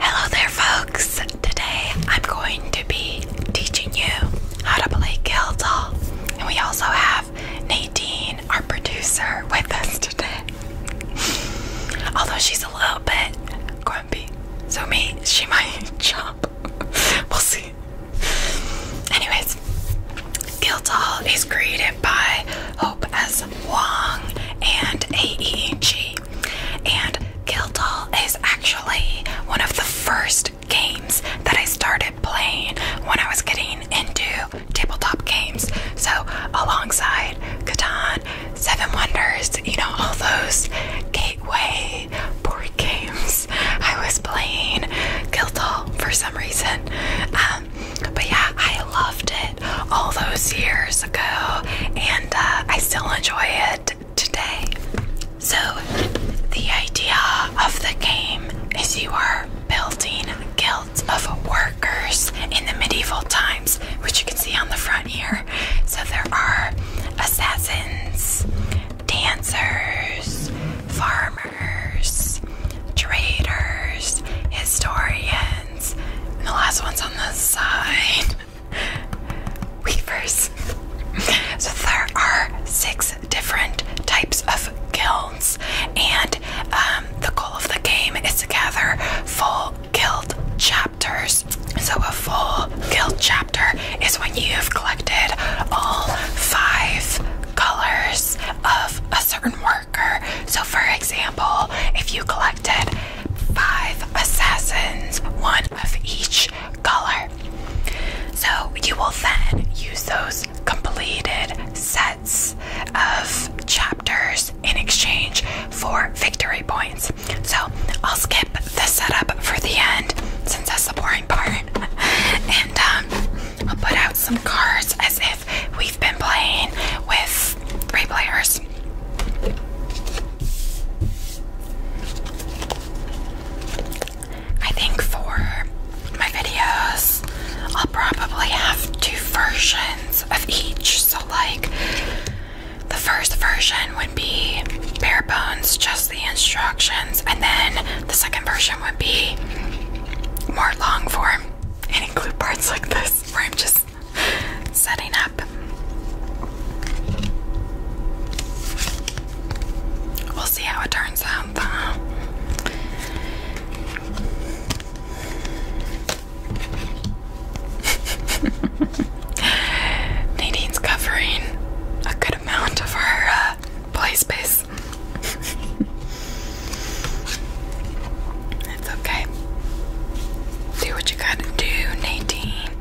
Hello there, folks. Today I'm going to be teaching you how to play Guildhall, and we also have Nadine, our producer, with us today. Although she's a little bit grumpy, so me she might jump. we'll see. Anyways, Guildhall is created by Hope S. Wong and AEG. And Guildhall is actually one of the first games that I started playing when I was getting into tabletop games. So, alongside Catan, Seven Wonders, you know, all those gateway board games, I was playing Guildhall for some reason. Um, but yeah, I loved it all those years ago, and uh, I still enjoy it today. So, the idea of the game is you are building guilds of workers in the medieval times, which you can see on the front here. So, there are assassins, dancers, farmers, traders, historians, and the last one's on the side weavers. So there are six different types of guilds, and um, the goal of the game is to gather full guild chapters. So a full guild chapter is when you've collected all five colors of a certain worker. So, for example, if you collected five assassins, one of each color. So you will then use those completed sets of chapters in exchange for victory points. So I'll skip the setup for the end since that's the boring part. and um, I'll put out some cards as if we've been playing with three players. I think for my videos, I'll probably have two versions of each. So, like, the first version would be bare bones, just the instructions, and then the second version would be more long form and include parts like this where I'm just setting up. We'll see how it turns out, Nadine's covering a good amount of her uh, play space. it's okay. Do what you gotta do, Nadine.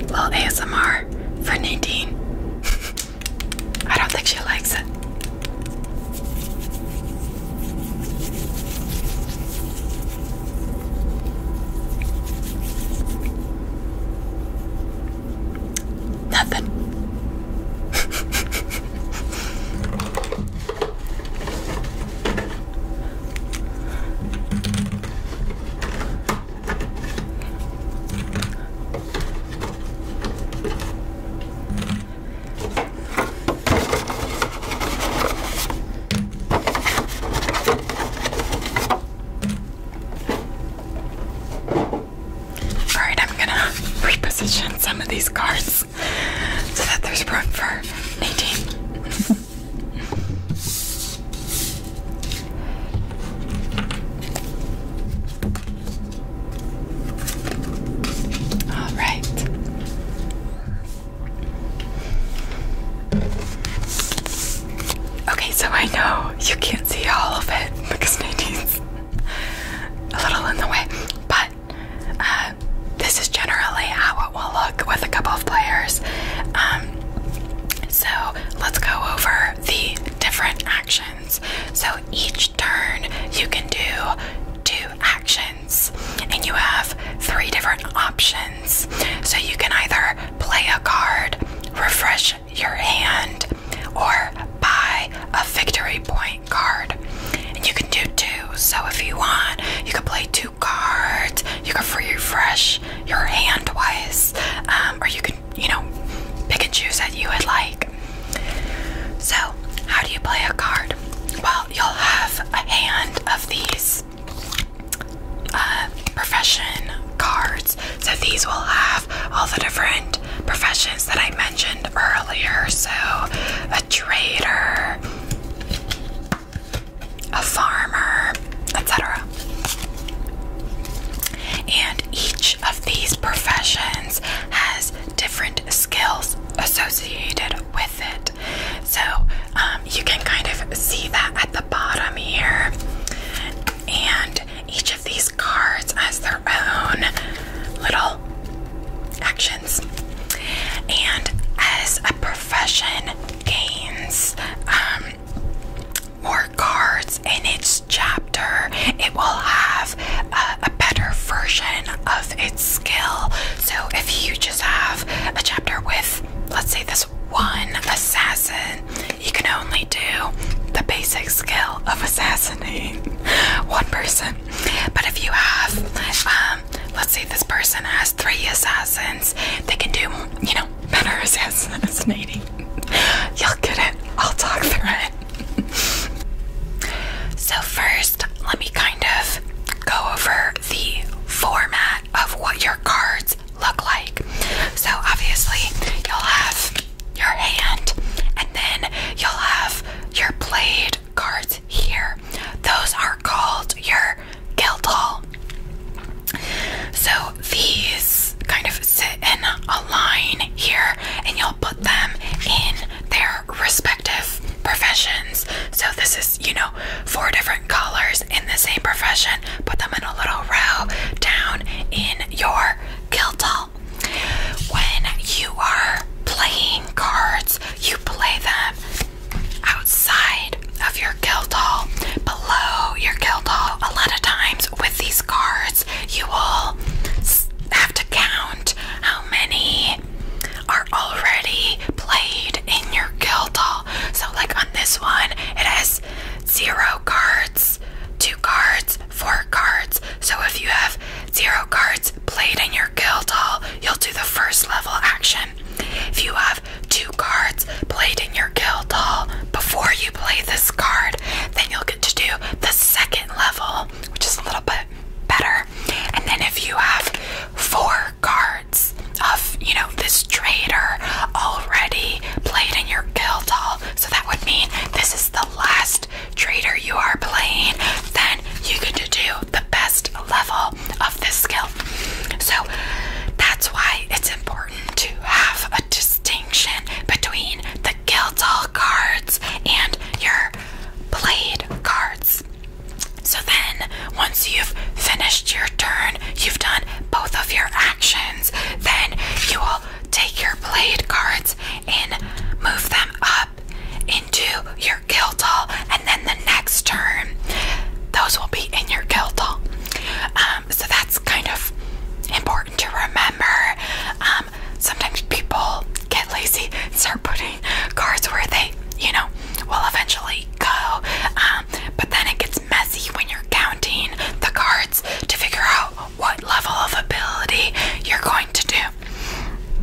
Little ASMR for Nadine. I don't think she likes it. Nothing. All right, I'm gonna reposition some of these cards so that there's room for Nadine. All right. Okay, so I know you can't see all of it because Nadine's a little in the way, but uh, this is generally how we will look with a couple of players. Um, so let's go over the different actions. So each turn you can do two actions, and you have three different options. So you can either play a card, refresh your hand, or buy a victory point card. And you can do two. So if you want, you can play two card. You can refresh your hand twice, um, or you can, you know, pick and choose that you would like. So, how do you play a card? Well, you'll have a hand of these uh, profession cards. So, these will have all the different professions that I mentioned earlier. So, a trader, a farmer, etc. And each of these professions has different skills associated with it. So um, you can kind of see that at the bottom here. And each of these cards has their own little actions. And as a profession, gains um, more cards in its chapter, it will have a, better version of its skill. So if you just have a chapter with, let's say, this one assassin, you can only do the basic skill of assassinating one person. But if you have, um, let's say, this person has three assassins they can do, you know, better assassinating. Y'all get it. I'll talk through it. so, first, let me kind of go over the format of what your cards look like. So, obviously, you'll have your hand, and then you'll have your played cards here. Those are called your or Guildhall. So these kind of sit in a line here, and you'll put them in their respective professions. So this is, you know, four different colors in the same profession. Put them in a little row down in your Guildhall. When you are playing cards, you play them outside of your hall, below your hall, A lot of times with these cards, you will have to count how many are already played in your hall. So, like on this one, it has zero cards, two cards, four cards. So, if you have zero cards played in your hall, you'll do the first level action. If you have two cards played in your guild hall before you play this card, then you'll get to do the second level, which is a little bit better. And then if you have four cards of, you know, this trader already played in your guild hall, so that would mean this is the last trader you are playing, then you get to do the best level of this skill. So that's why it's important to have a distinction between the Guildhall cards and your played cards. So then, once you've finished your turn, you've done both of your actions, then you will take your played cards and move them up into your guild hall, and then the next turn, those will be in your guild hall. Um, so that's kind of important to remember. Um, sometimes people get lazy and start putting cards where they, you know, will eventually go. Um, but then it gets messy when you're counting the cards to figure out what level of ability you're going to do.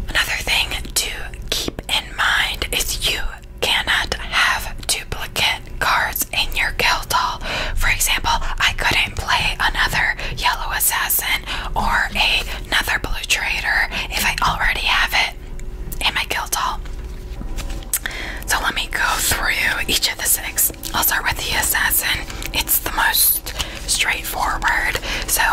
Another thing to keep in mind is you cannot have duplicate cards in your guild hall. For example, I couldn't play another yellow assassin or another blue trader if I already have it in my guild hall. So let me go through each of the six. I'll start with the assassin. It's the most straightforward. So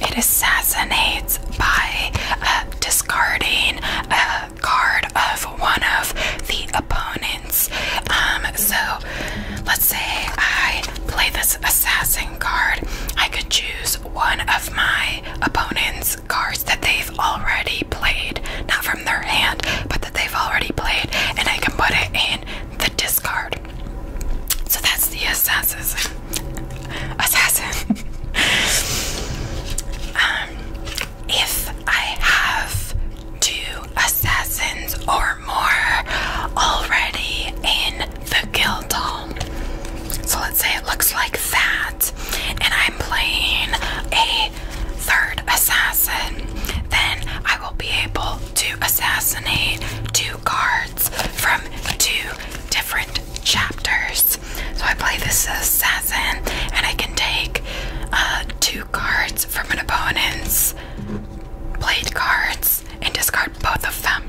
it assassinates by uh, discarding uh, card of one of the opponents. Um, so let's say I play this assassin card, I could choose one of my opponent's cards that they've already played, not from their hand, but that they've already played, and I can put it in the discard. So that's the assassin. Assassin. um, if I have two assassins or more already in the guild hall. So let's say it looks like that, and I'm playing a third assassin, then I will be able to assassinate two guards from two different chapters. So I play this assassin and I can take uh, two cards from an opponent's played cards and discard both of them.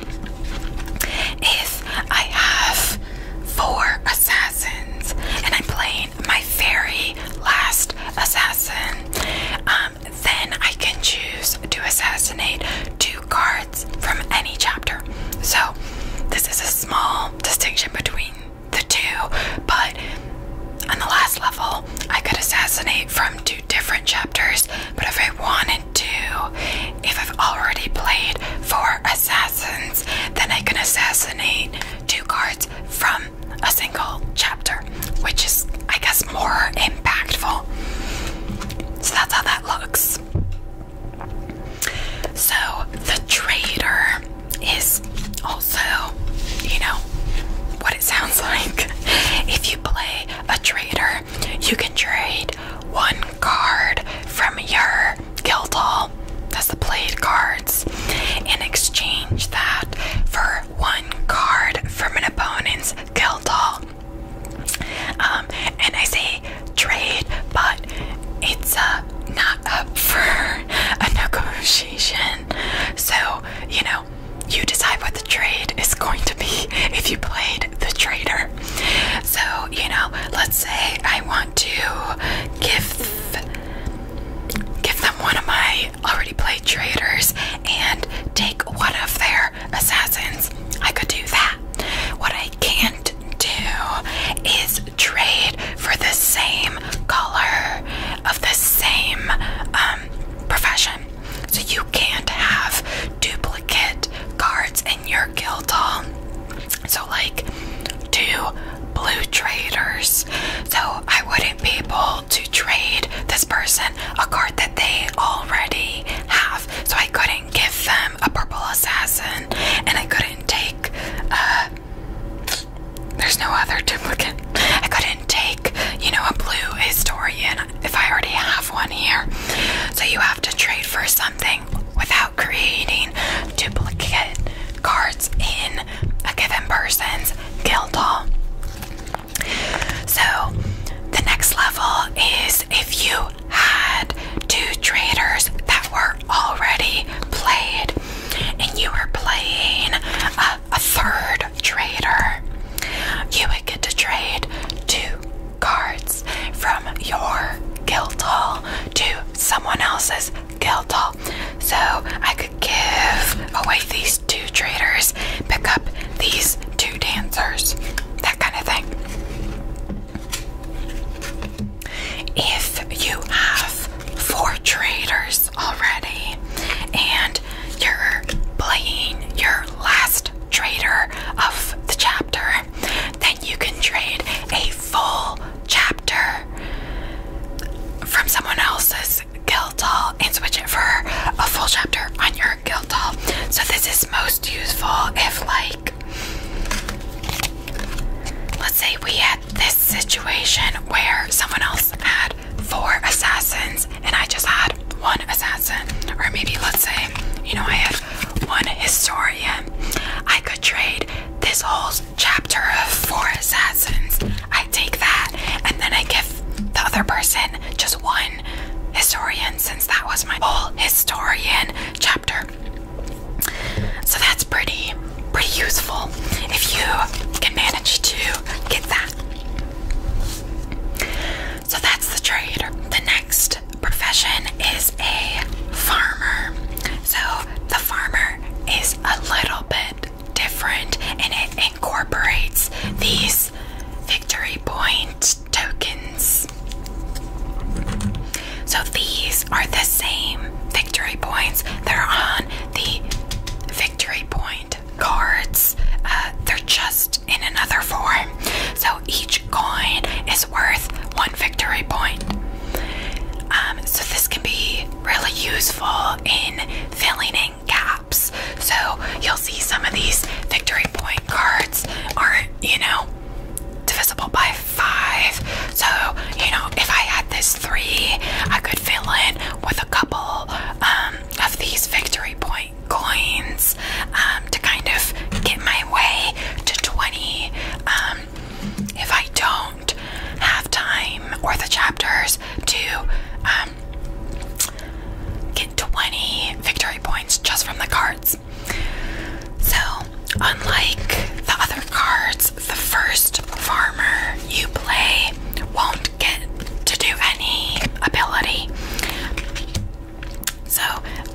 If I have four assassins and I'm playing my very last assassin, um, then I can choose to assassinate two cards from any chapter. So, this is a small distinction between the two, but on the last level, I could assassinate from two different chapters. But if I wanted to, if I've already played four assassins, then I can assassinate two cards from a single chapter, which is, I guess, more impactful. So that's how that looks. So, the traitor is also, you know, what it sounds like. If you play a trader, you can trade one card from your guild hall, that's the played cards, in exchange that for one card from an opponent's guild hall. Um, and I say trade, but it's uh, not up for a negotiation. So, you know, you decide what the trade is going to be if you played the trader. So, you know, let's say I want to give give them one of my already played traders and take one of their assassins. I could do that. What I can't do is trade for the same color of the same um, profession. So you can't have duplicate cards in your guild hall. So, like, two blue traders. So, I wouldn't be able to trade this person a card that they already have. So, I couldn't give them a purple assassin and I couldn't take uh, there's no other duplicate. I couldn't take, you know, a blue historian if I already have one here. So you have to trade for something without creating duplicate cards in a given person's guild hall. So the next level is if you had two traders that were already played and you were playing a, third trader, you would get to trade two cards from your guild hall to someone else's guild hall. So I could give away these two traders, pick up these two dancers, that kind of thing. If you have four traders, already, and you're playing your last trader of the chapter, then you can trade a full chapter from someone else's guild hall and switch it for a full chapter on your guild hall. So this is most useful if like let's say we had this situation where someone else had four assassins and I just had one assassin, or maybe let's say, you know, I have one historian, I could trade this whole chapter of four assassins. I take that and then I give the other person just one historian since that was my whole historian chapter. So that's pretty pretty useful if you can manage to get that. So that's the trade. The next profession is a farmer. So the farmer is a little bit different and it incorporates these victory point tokens. So these are the same victory points. They're on the victory point cards. Uh, they're just in another form. So each coin is worth one victory point. Um, so this can be really useful in filling in gaps. So you'll see some of these victory point cards are you know, divisible by five. So, you know, if I had this three, I could fill in with a couple um, of these victory point coins um, to kind of get my way to 20. Um, if I don't have time or the chapters to get 20 victory points just from the cards. So, unlike the other cards, the first farmer you play won't get to do any ability. So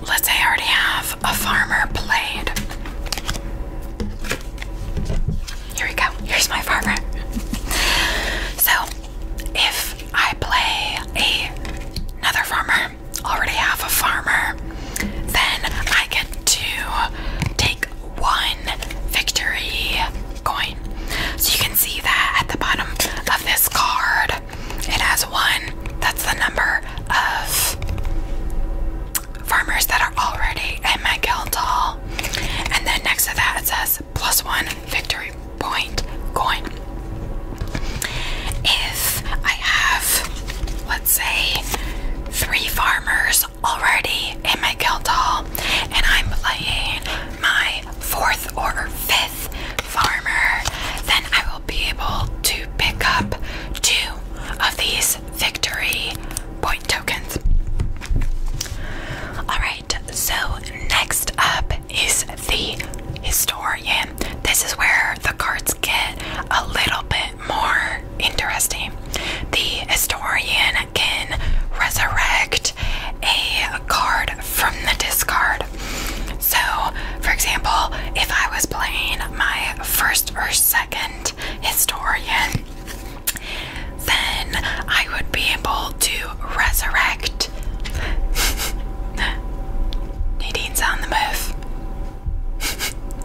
let's say I already have a farmer played. Here we go. Here's my farmer. so if I play a, another farmer, already have a farmer, then I get to take one victory coin. So you can see that at the bottom of this card, it has one. That's the number of farmers that are already in my guild hall. And then next to that, it says plus one victory point coin. If I have, let's say, three farmers already in my guild hall, and I'm playing my fourth or fifth farmer, then I will be able to pick up two of these victory point tokens. Alright, so next up is the historian. This is where the cards get a little bit more interesting. The historian can resurrect a card from the discard. So, for example, if I was playing my first or second historian, then I would be able to resurrect. Nadine's on the move.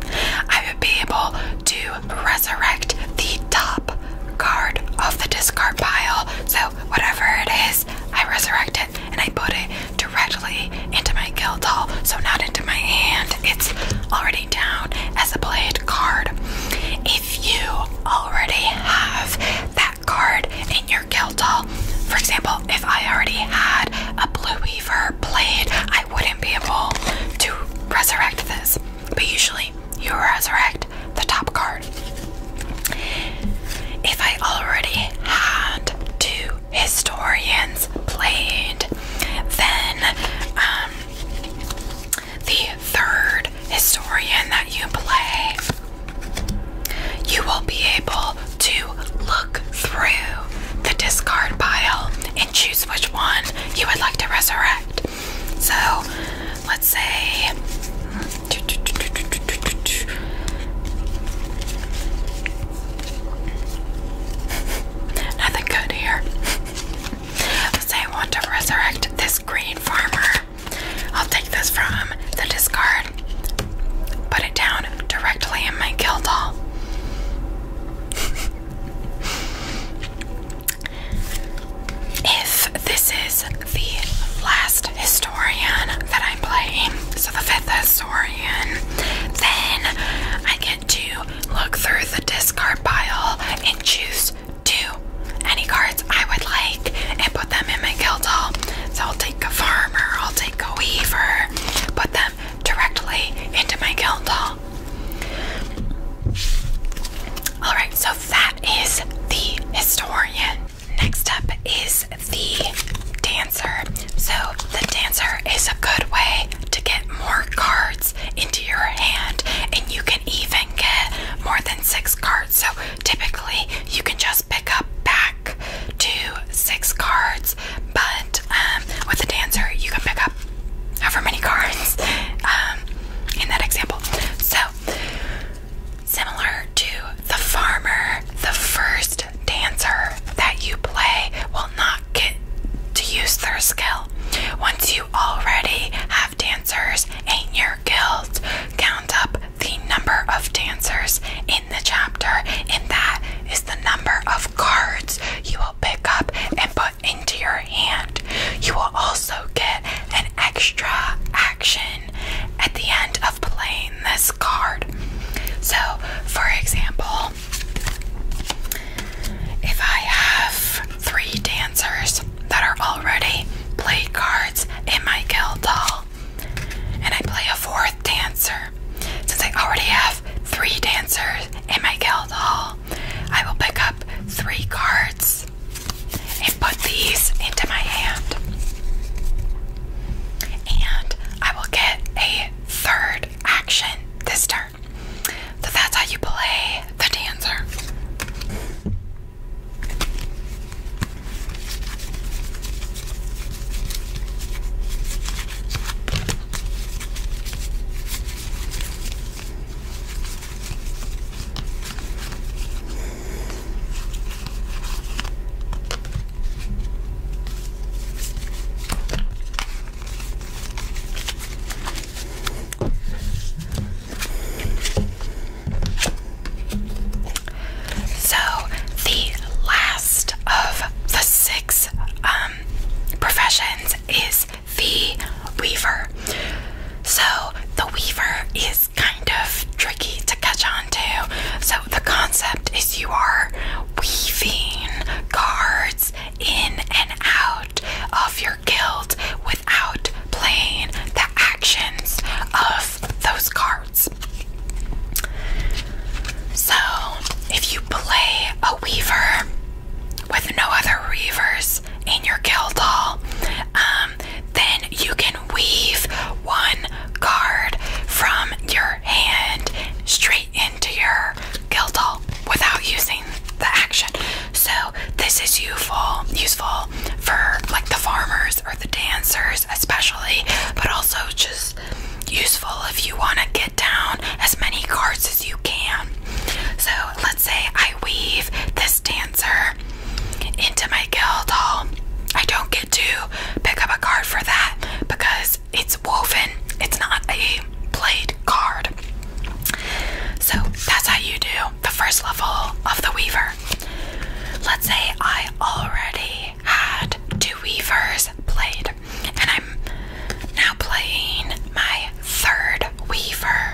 I would be able to resurrect the top card of the discard pile. So, whatever it is, I resurrect it and I put it directly into my guild hall. So, not into my hand, it's already down as a played card. If you already have that card in your guild hall, for example, if I already had a Blue Weaver played, I wouldn't be able to resurrect this. But usually, you resurrect the top card. If I already had two historians played, then um, the third historian that you play, you will be able to look through the discard pile and choose which one you would like to resurrect. So let's say nothing good here. let's say I want to resurrect this green farmer. I'll take this from the discard, put it down directly in my guild hall. If this is the last historian that I'm playing, so the fifth historian, then I get to look through the discard pile and choose two any cards I would like and put them in my guild hall. So I'll take a farmer, I'll take a weaver, put them directly into my guild hall. All right, so that is the historian. Next up is the dancer. So, the dancer is a good way to get more cards into your hand, and you can even get more than six cards. So, typically, you can just pick up back to six cards, but um, with the dancer, you can pick up however many cards um, in that example. So, Similar to the farmer, the first dancer that you play will not get to use their skill. Once you already have dancers in your guild, count up the number of dancers in the chapter, and that is the number of cards you will pick up and put in into your hand. You will also get an extra action at the end of playing this card. So, for example, if I have three dancers that are already played cards in my guild hall, and I play a fourth dancer, since I already have three dancers in my guild hall, I will pick up three cards and put these into my hand. And I will get a third action this turn. So that's how you play the dancer. So, the last of the six um, professions is the weaver. So, the weaver is kind of tricky to catch on to. So, the concept is you are weaving cards in and out of your guild without playing the actions of those cards. So, if you play a weaver with no other weavers in your guild hall, um, then you can weave one card from your hand straight into your guild hall without using the action. So this is useful, useful for like the farmers or the dancers especially, but also just useful if you want to get down as many cards as you can. So let's say I weave this dancer into my guild hall. I don't get to pick up a card for that because it's woven, it's not a played card. So that's how you do the first level of the weaver. Let's say I already had two weavers played, and I'm now playing my third weaver.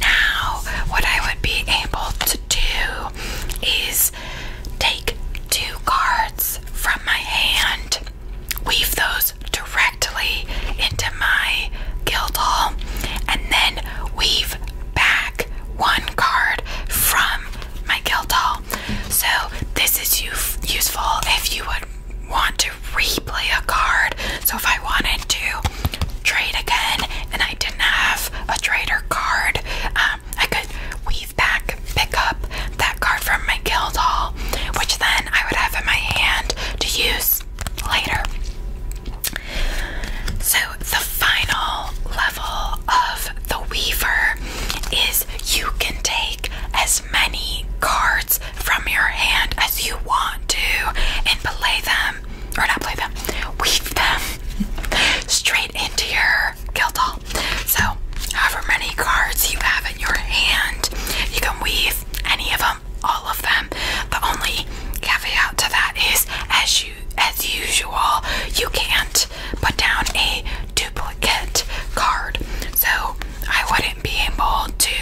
Now, what I would be able to do is take two cards from my hand, weave those directly into my guild hall, and then weave back one card from my guild hall. So, this is useful if you would want to replay a card. So, if I wanted to trade again, and I didn't have a trader card. Um, I could weave back, pick up that card from my guild hall, which then I would have in my hand to use later. So, the final level of the Weaver is you can take as many cards from your hand as you want to and play them or not play them, weave them straight into your guild hall. So, however many cards you have in your hand, you can weave any of them, all of them. The only caveat to that is, as you as usual, you can't put down a duplicate card. So I wouldn't be able to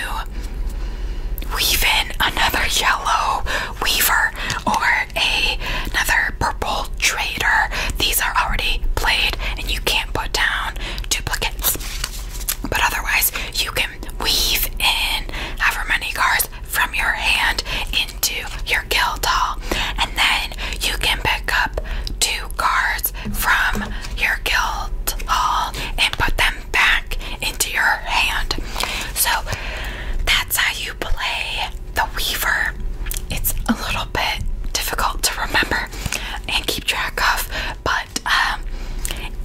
weave in another yellow weaver or another purple trader. These are already played and you can't put down duplicates. But otherwise, you can weave in however many cards from your hand into your guild hall. And then you can pick up two cards from your guild hall and put them back into your hand. So that's how you play the Weaver, it's a little bit difficult to remember and keep track of, but um,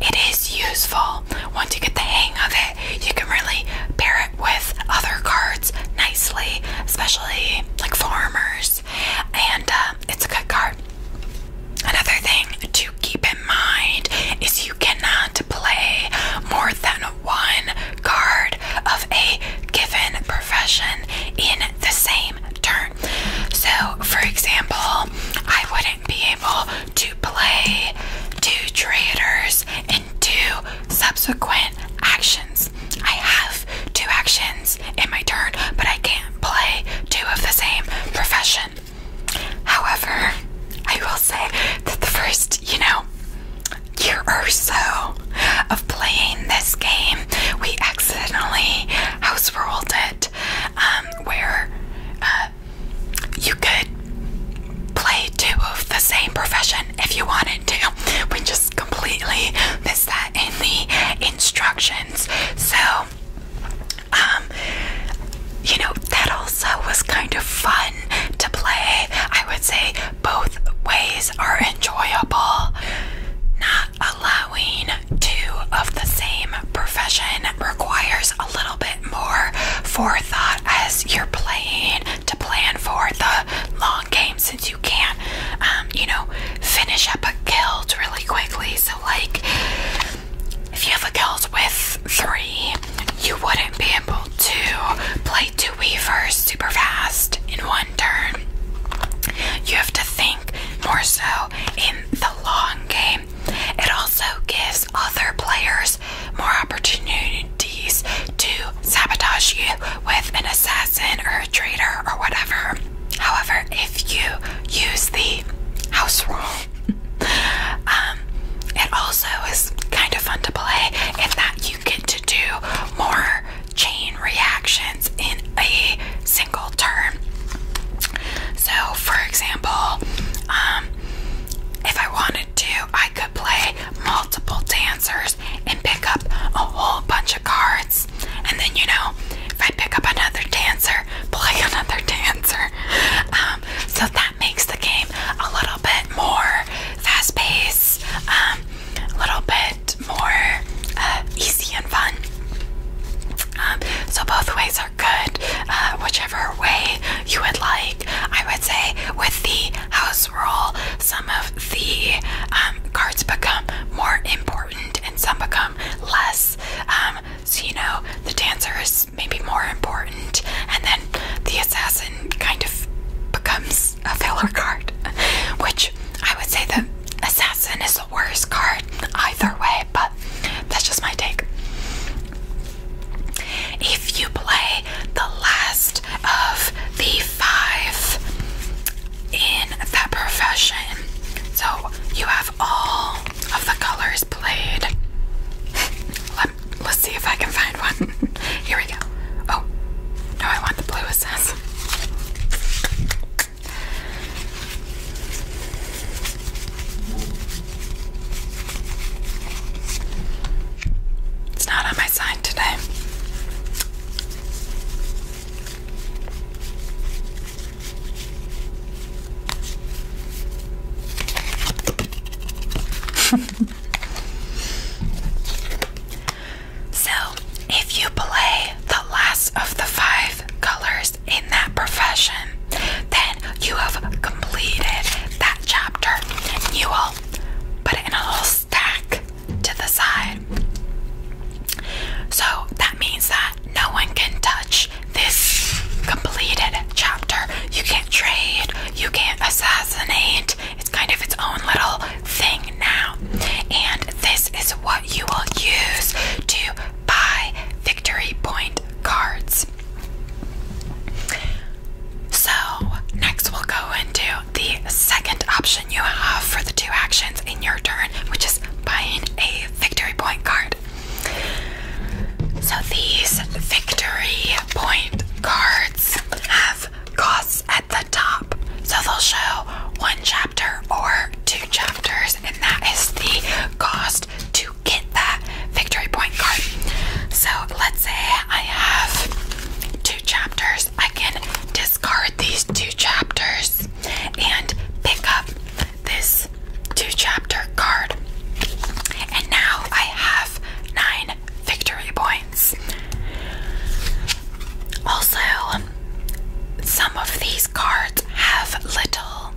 it is useful. Once you get the hang of it, you can really pair it with other cards nicely, especially like farmers, and um, it's a good card. Another thing to keep in mind is you cannot play more than one card of a given profession in the same turn. So, for example, I wouldn't be able to play two traders in two subsequent actions. I have two actions in my turn, but I can't play two of the same profession. However, I will say that the first, you know, year or so of playing this game, we accidentally house rolled it, um, where uh, you could play two of the same profession if you wanted to. We just completely missed that in the instructions. So, um, you know, that will Elsa was kind of fun to play. I would say both ways are enjoyable. Not allowing two of the same profession requires a little bit more forethought as you're playing to plan for the long game since you can't, um, you know, finish up a guild really quickly. So, like, if you have a guild with three you wouldn't be able to play two weavers super fast in one turn. You have to think more so in the long game. It also gives other players more opportunities to sabotage you with an assassin or a traitor or whatever. However, if you use the house rule, um, it also is kind of fun to play in that you get to do more chain reactions in a single turn. So, for example, um, if I wanted to, I could play multiple dancers and pick up a whole bunch of cards. And then, you know, if I pick up another dancer, play another dancer. Um, so that that makes the game a little bit more fast paced, a um, little bit more uh, easy and fun. Um, so, both ways are good, uh, whichever way you would like. I would say with the house roll, some of the um, cards become more important and some become less. so, you know, the dancer is maybe more important and then the assassin kind of becomes a filler card, which I would say the assassin is the worst card either way, but that's just my take. If you play the last of the five in that profession, so you have all of the colors played. let's see if I can find one. Here we go. Oh, no, I want the blue, it It's not on my side today. So, if you play the last of the five colors in that profession, then you have completed that chapter. You will put it in a little stack to the side. So that means that no one can touch this completed chapter. You can't trade, you can't assassinate, it's kind of its own little thing now. And this is what you will use to buy Victory Point cards. So, next we'll go into the second option you have for the two actions in your turn, which is buying a Victory Point card. So, these Victory Point cards have costs at the top. So they'll show one chapter or two chapters, and that is the cost to get that victory point card. So let's say I have two chapters, I can discard these two chapters and pick up this two chapter card. And now I have nine victory points. Also, some of these cards have little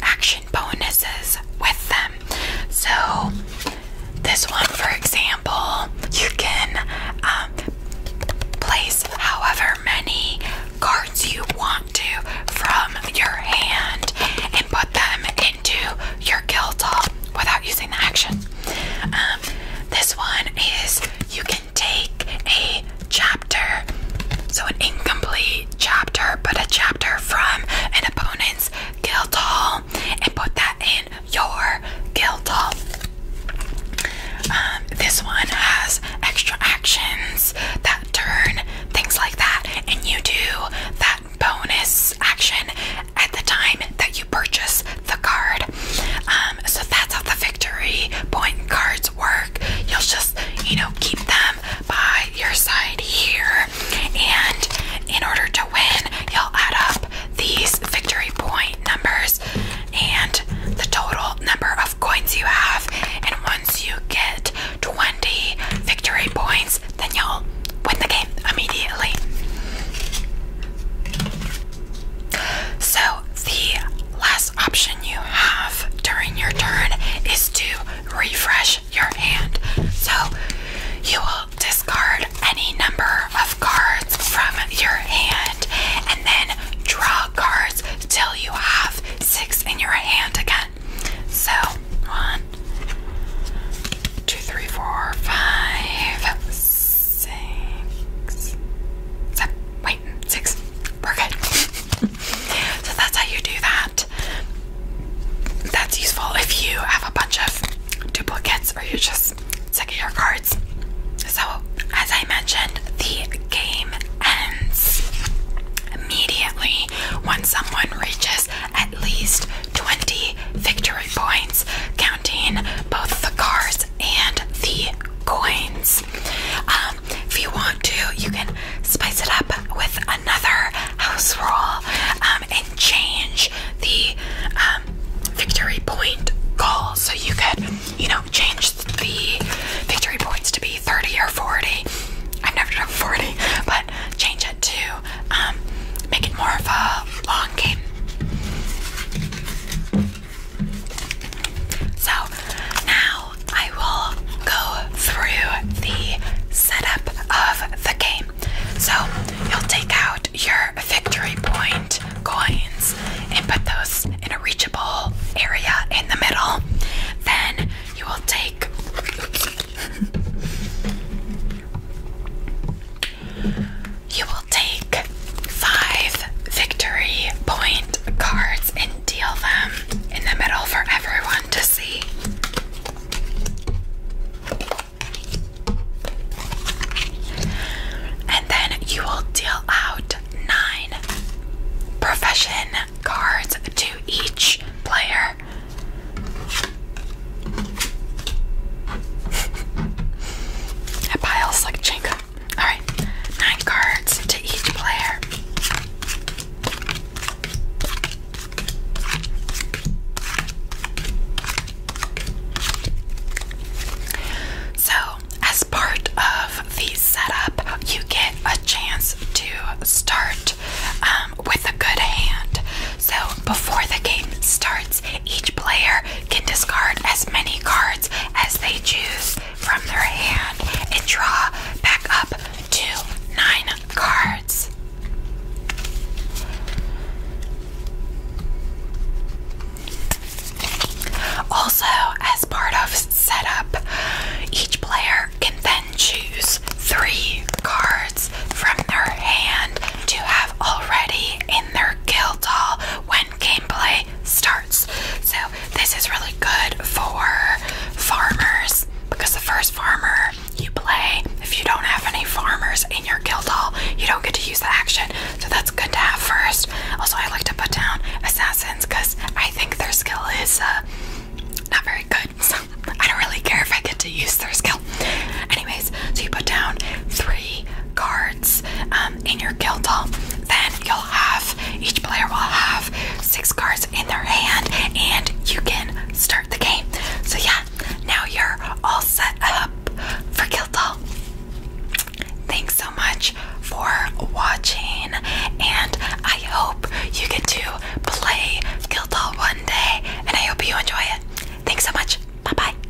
action bonuses with them. So, this one, for example, you can um, place however many cards you want to from your hand and put them into your guild hall without using the action. Um, this one is you can take a chapter, so an incomplete chapter, but a chapter from an opponent's guild hall, and put that in your guild hall. Um, this one has extra actions that turn things like that, and you do that bonus action at the time that you purchase the card. Um, so that's how the victory point cards work. You'll just, you know, keep them by your side here, and in order to win, you'll add up these victory point numbers and the total number of coins you have. And once you get 20 victory points, then you'll win the game immediately. So, the last option you have during your turn is to refresh your hand. So, you will discard any number of cards from your hand and then draw cards till you have six in your hand again. So, one, two, three, four, five, six six, wait, six. We're good. so that's how you do that. That's useful if you have a bunch of duplicates or you're just sick your cards. So, as I mentioned, the game ends immediately when someone reaches at least 20 victory points, counting both the cars and the coins. Um, if you want to, you can spice it up with another house roll um, and change the um, victory point goal. So you could, you know, change the victory points to be 30 or 40. I've never done 40, but change it to make it more of a long game so now I will go through the setup of the game. So you'll take out your victory point coins and put those in a reachable area in the middle. Then you will take you will take five victory point cards and deal them in the middle for everyone to see. And then you will deal out nine profession cards to each player. That pile's like Jenga. Alright, nine cards to each player. So, as part of the setup, you get a chance to start um, with a good hand. So, before the game starts, each player can discard as many cards as they choose from their hand and draw back up to nine cards. Also, as part of setup, each player can then choose three cards from their hand to have already in their guild hall when gameplay starts. So this is really good for farmers because the first farmer you play, if you don't have any farmers in your guild hall, you don't get to use the action. So that's good to have first. Also, I like to put down assassins because I think their skill is uh, not very good. So I don't really care if I get to use their skill. Anyways, so you put down three cards um, in your guild hall, then you'll have each player will have six cards in their hand, and you can start the game. So yeah, now you're all set up for guild hall. Thanks so much for watching, and I hope you get to play Guild Hall one day, and I hope you enjoy it. Thanks so much. Bye bye.